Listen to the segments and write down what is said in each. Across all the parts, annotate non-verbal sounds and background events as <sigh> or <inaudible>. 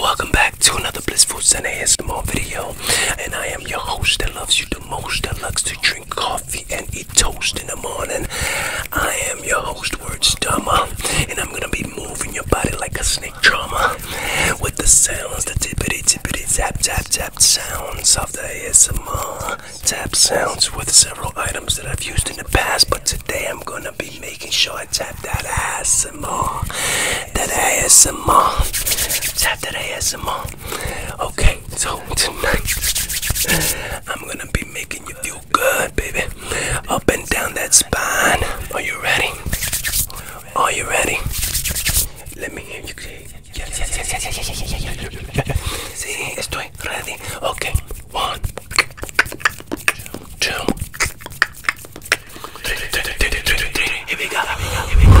Welcome back to another Blissful Center ASMR video, and I am your host that loves you the most, that likes to drink coffee and eat toast in the morning. I am your host, Wordstummer, and I'm gonna be moving your body like a snake organic with the sounds, the tippity tippity tap tap tap sounds of the ASMR tap sounds with several items that I've used in the past, but today I'm gonna be making sure I tap that ASMR. That ASMR. Tap that ASMR. Okay, so tonight I'm gonna be making you feel good, baby. Up and down that spine. Are you ready? Are you ready? Let me hear you say yes, yes, yes, yes, yes, yes, yes, yes, yes, yes. Sí, estoy ready. Okay, one, two, three, three, three, three, three, three. Here we go, here we go, here we go.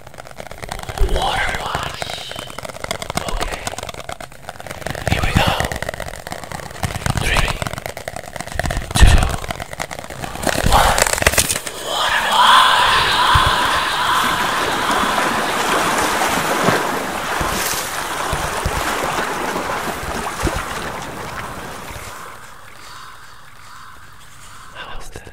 Water wash. Okay. Here we go. Three, two, one. Water wash. How was that?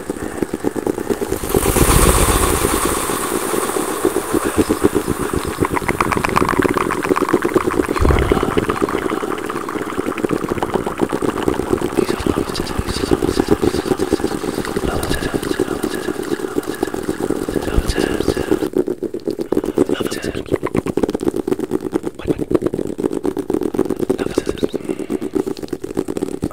Love it. I'm telling you. Love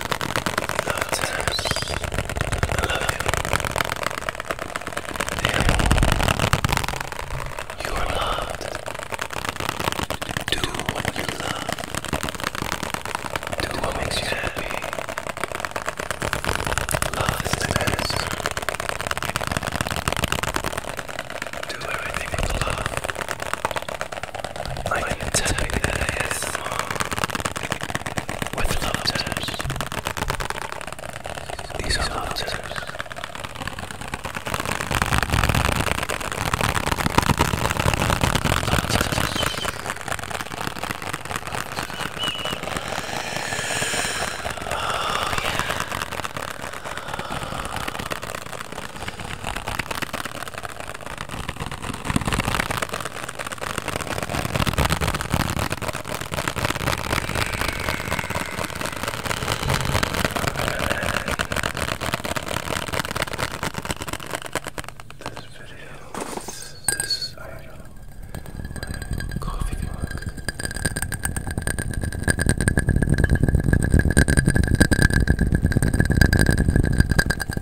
you. You are loved. Do what you love. Do, what makes you happy. Love is Do everything with love. I can tell you that ASMR with laughter. These are laughter. Oh, yeah. This video, this, this item, my coffee mug.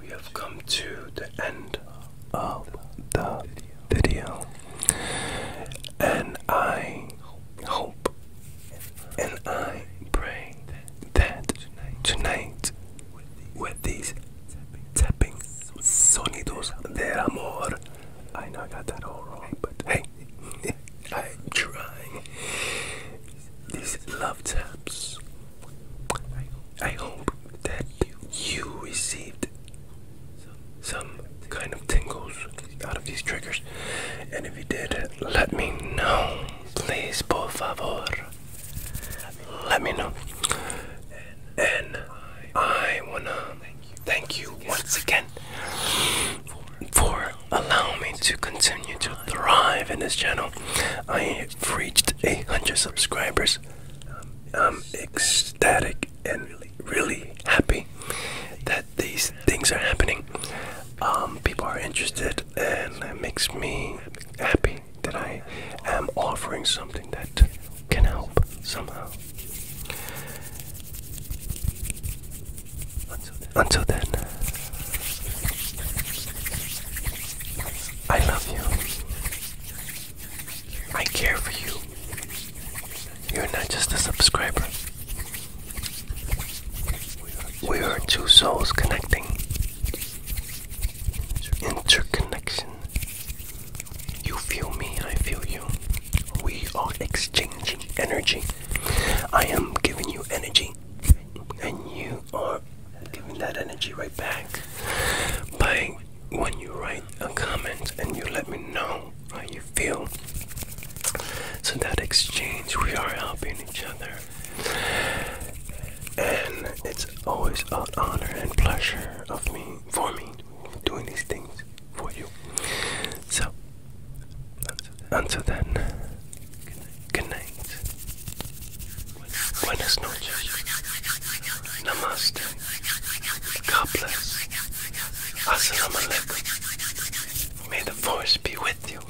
we have come to the end of the video, and I hope and I pray that tonight, with these tapping sonidos del amor, I know I got that all wrong, but hey, <laughs> I'm trying. These love taps I hope that you received some kind of tingles out of these triggers. And if you did, let me know. Please, por favor. Let me know. And I wanna thank you once again for allowing me to continue to thrive in this channel. I have reached 800 subscribers I'm um, ecstatic and really, happy that these things are happening. Um, people are interested, and it makes me happy that I am offering something that can help somehow. Until then. I love you. I care for you. You're not just a subscriber. We are two souls connecting. Interconnection. You feel me, I feel you. We are exchanging energy. I am giving you energy and you are giving that energy right back by when you write a comment and you let me know how you feel. So that exchange, we are helping each other. And it's always an honor and pleasure of me for me doing these things for you. So until then, Good night. Buenas noches. Namaste. God bless. Assalamu alaikum. May the force be with you.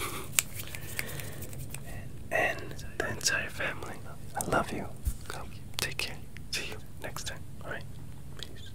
And the entire family. I love you. take care. See you next time. Alright? Peace.